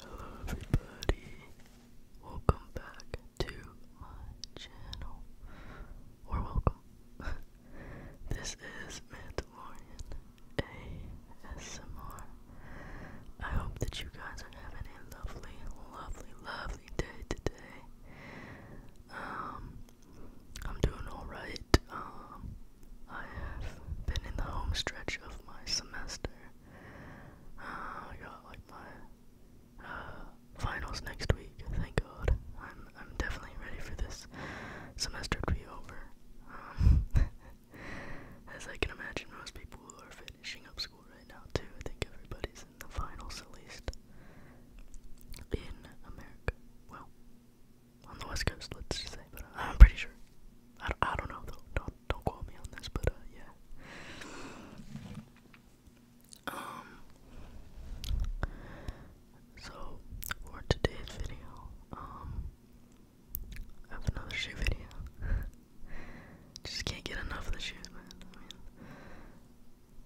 Hello everybody, welcome back to my channel, or welcome, this is Mandalorian ASMR, I hope that you guys are having a lovely, lovely, lovely day today, um, I'm doing alright, um, I have been in the home stretch of my semester. Uh, I got like my uh, finals next week. Thank God. I'm I'm definitely ready for this semester to be over. Um, as I can imagine, most people are finishing up school right now too. I think everybody's in the finals at least in America. Well, on the West Coast, let's just say. But uh, I'm pretty sure. I, I don't know though. Don't don't quote me on this, but uh, yeah. Um. So for today's video, um, I have another shoe video. just can't get enough of the shoes, man.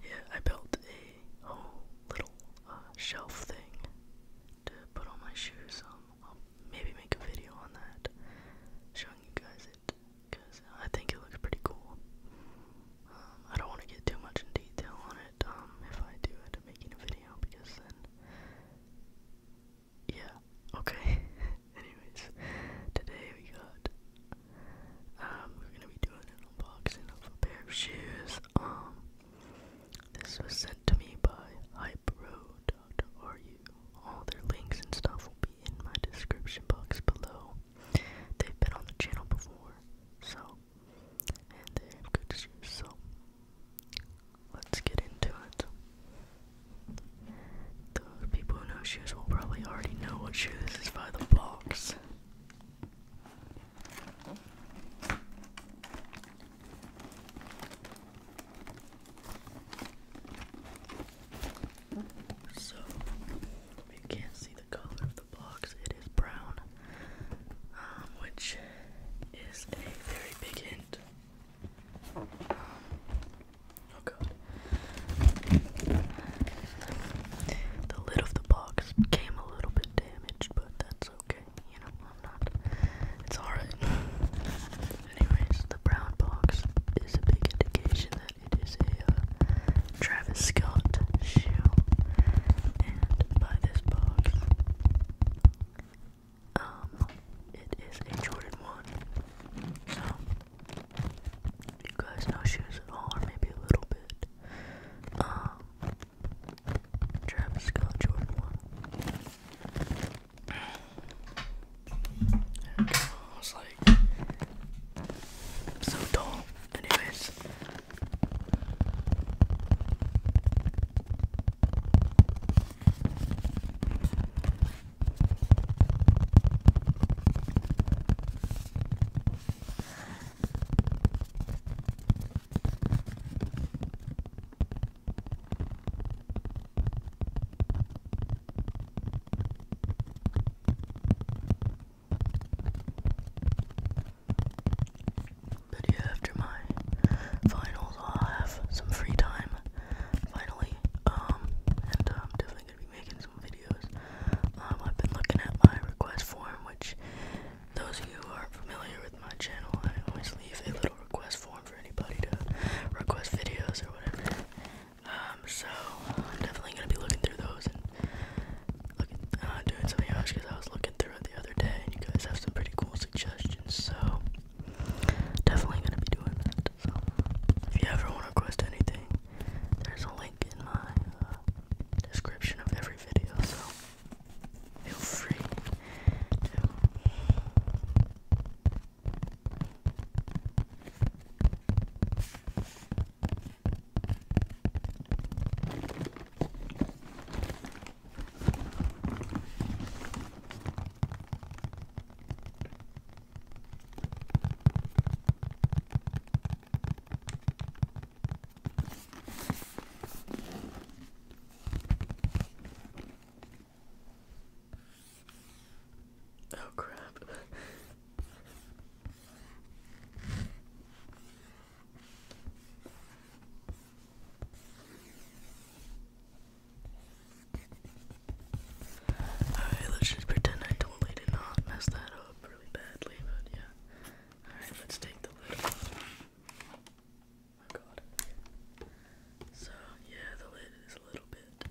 yeah, I built a whole little uh, shelf thing to put on my shoes. Um, I'll maybe make a video on that, showing you guys it, because I think it looks pretty cool. Um, I don't want to get too much in detail on it, um, if I do end up making a video, because then, yeah, okay. Anyways, today we got, um, we're gonna be doing an unboxing of a pair of shoes, um, this was sent to me by hypero.ru. All their links and stuff will be in my description box below. They've been on the channel before, so, and they have good shoes, so, let's get into it. Those people who know shoes will probably already know what shoe is by the box. So, you can't see the color of the box, it is brown, um, which is a very big hint. oh god. The lid of the box became a little bit damaged, but that's okay you know, I'm not. It's alright. Anyways, the brown box is a big indication that it is a uh, Travis Scott shoe. And by this box, um, it is a Jordan 1. So, you guys know shoes at all, or maybe a little bit, um, Travis Scott Jordan go. I was like so tall. Anyways. But yeah, after my finals, i have some free time finally. Um, and I'm um, definitely gonna be making some videos. Um, I've been looking at my request form, which those of you who are not familiar with my channel, I always leave a little request form for anybody to request videos or whatever. Um, so I'm definitely gonna be looking through those and looking, uh, doing something else because I was looking through it the other day, and you guys have some pretty cool suggestions. So definitely gonna be doing that. So if you ever want to request anything, there's a link in my uh, description of every video. So feel free to Oh crap. Alright, let's just pretend I totally did not mess that up really badly, but yeah. Alright, let's take the lid off. Oh god. So, yeah, the lid is a little bit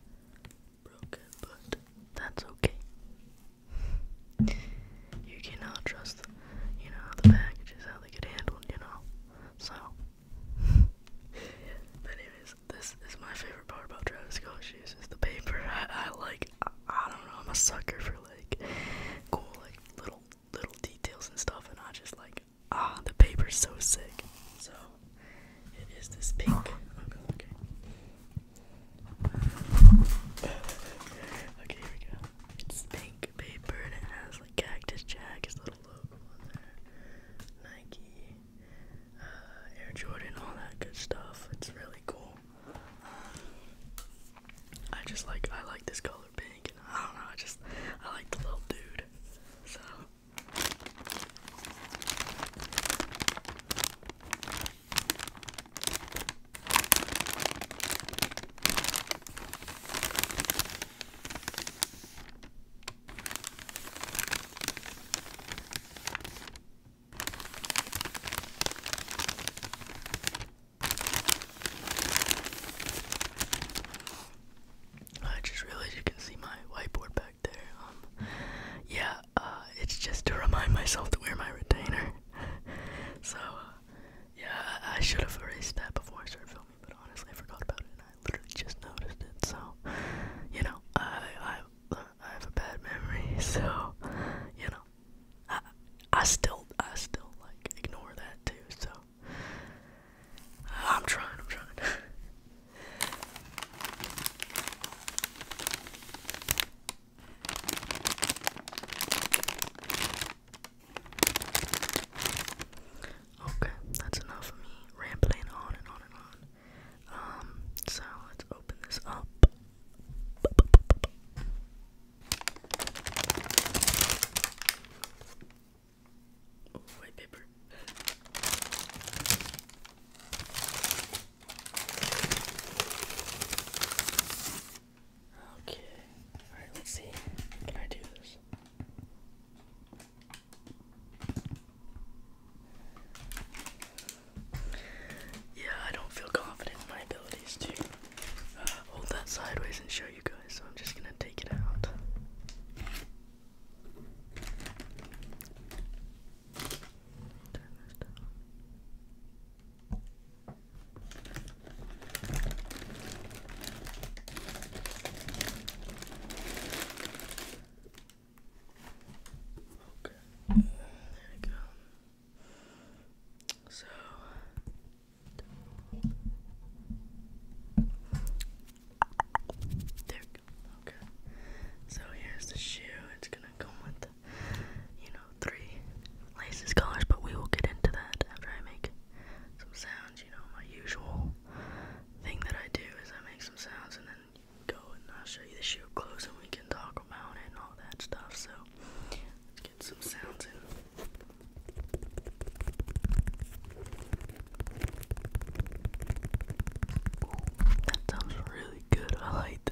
broken, but that's okay. You cannot trust, you know, the packages, how they get handled, you know. So, but anyways, this is my favorite part about Travis Scott shoes is the paper. I, like, I don't know, I'm a sucker for like cool like little little details and stuff and I just like ah the paper's so sick. So it is this pink oh, okay. okay, here we go. It's pink paper and it has like Cactus Jack, his little logo on there, Nike, uh, Air Jordan, all that good stuff. It's really cool. I just like I like this color pink and I don't know, I just I like the little dude. So I just realized you can see my whiteboard back there. Um, yeah, uh, it's just to remind myself to wear my retainer. so, uh, yeah, I, should have erased that before I started filming, but honestly, I forgot about it and I literally just noticed it. So, you know, I, I, I have a bad memory, so you know, I I still I still like ignore that too. So I'm trying. I'm trying. Okay, that's enough of me rambling on and on and on. Um, so let's open this up. Oh, white paper. Okay. Alright, let's see. Can I do this? Yeah, I don't feel confident in my abilities to uh, hold that sideways and show you guys, so I'm just gonna take it out. Okay. There you go. So there Okay. So here's the shoe. It's gonna come with you know three laces colors, but we will get into that after I make some sounds, you know, my usual thing that I do is I make some sounds and then go and I'll show you the shoe up and we can talk about it and all that stuff. So let's get some sounds in. that sounds really good. I like that.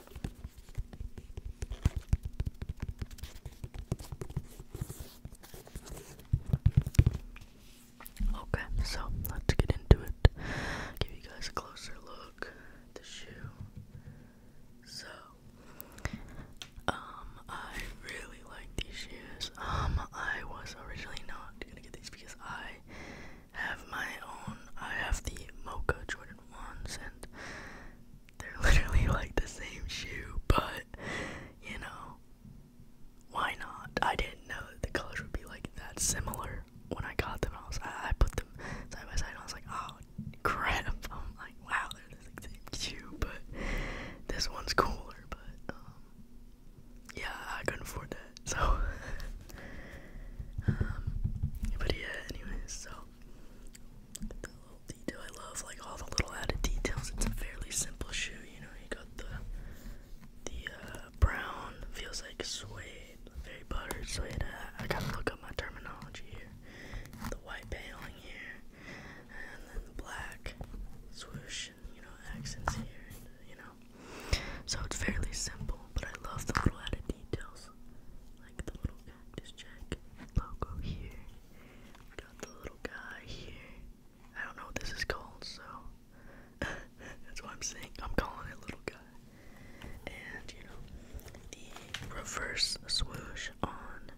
Okay, so let's get into it. Give you guys a closer look the shoe. So, um, I really like these shoes. Um, I was originally not gonna get these because I have my own. I have the Mocha Jordan ones, and they're literally like the same shoe, but you know, why not? I didn't know that the colors would be like that similar when I got them. I was, I, put them side by side. I was like, oh crap! like, wow, they're the same shoe, but this one's cooler. But um, yeah, I couldn't afford that, so. um, but yeah, anyways, so the little detail. I love like all the little added details. It's a fairly simple shoe, you know. You got the the uh, brown feels like suede, very buttered suede. I gotta look up my terminology here. The white paneling here, and then the black swoosh and you know accents here, you know. So it's fairly simple, but I love the little added details, like the little just check logo here. got the little guy here. I don't know what this is called, so that's what I'm saying. I'm calling it little guy. And you know, the reverse swoosh on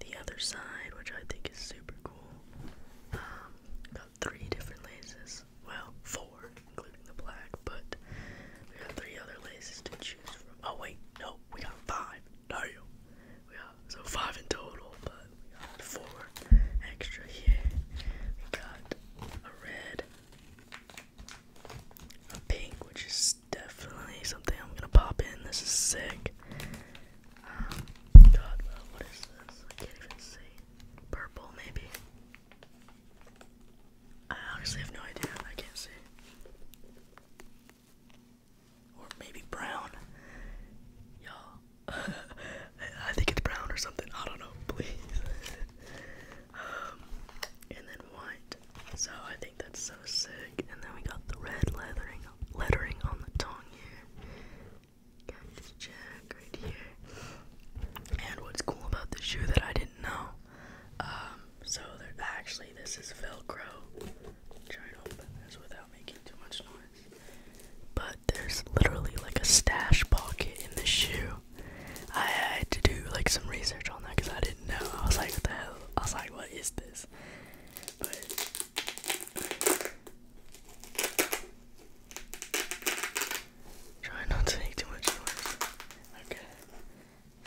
the other side, which I think is super cool. Um, got three different laces. Well, four including the black, but we got three other laces to choose from. Oh wait, no, we got five. No, we got so five in total, but four extra here. We got a red, a pink, which is definitely something I'm gonna pop in. This is sick. Um, God, uh, what is this? I can't even see. Purple, maybe. I honestly have no idea. I can't see. Or maybe brown. Y'all. I think it's brown or something. I don't know. Please. Um, and then white. So I think that's so sick. And then we got the red lettering, lettering on the tongue here. Cactus Jack right here. And what's cool about this shoe that I didn't know um, so actually, this is Velcro. Try and open this without making too much noise. But there's literally like a stash pocket in the shoe. I had to do like some research on that because I didn't know. I was like, the hell? I was like, what is this? try not to make too much noise. Okay.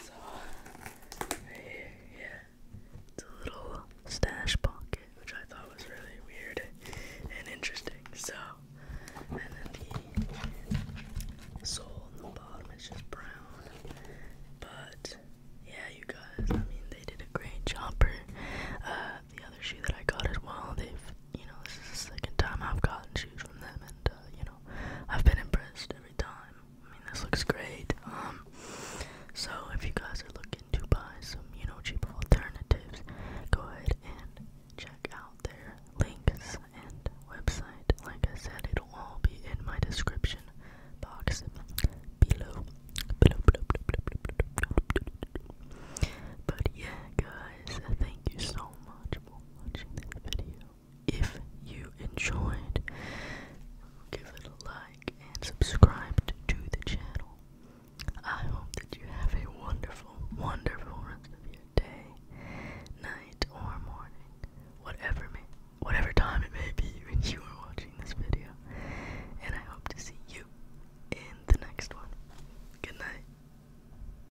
So, right here, yeah, it's a little stash pocket, which I thought was really weird and interesting. So, and then the sole on the bottom is just brown. But, yeah, you guys, I mean, they did a great job. For, uh, the other shoe that I got as well, they've, you know, this is the second time I've gotten shoes from them, and, uh, you know, I've been impressed every time. I mean, this looks great. Um, so if you guys are looking to buy some, you know, cheap alternatives, go ahead and check out their links and website. Like I said, it'll all be in my description box below. But yeah, guys, thank you so much for watching this video. If you enjoyed, give it a like and subscribe to the channel. I hope that you have a wonderful, wonderful rest of your day, night, or morning, whatever whatever time it may be when you are watching this video. And I hope to see you in the next one. Good night.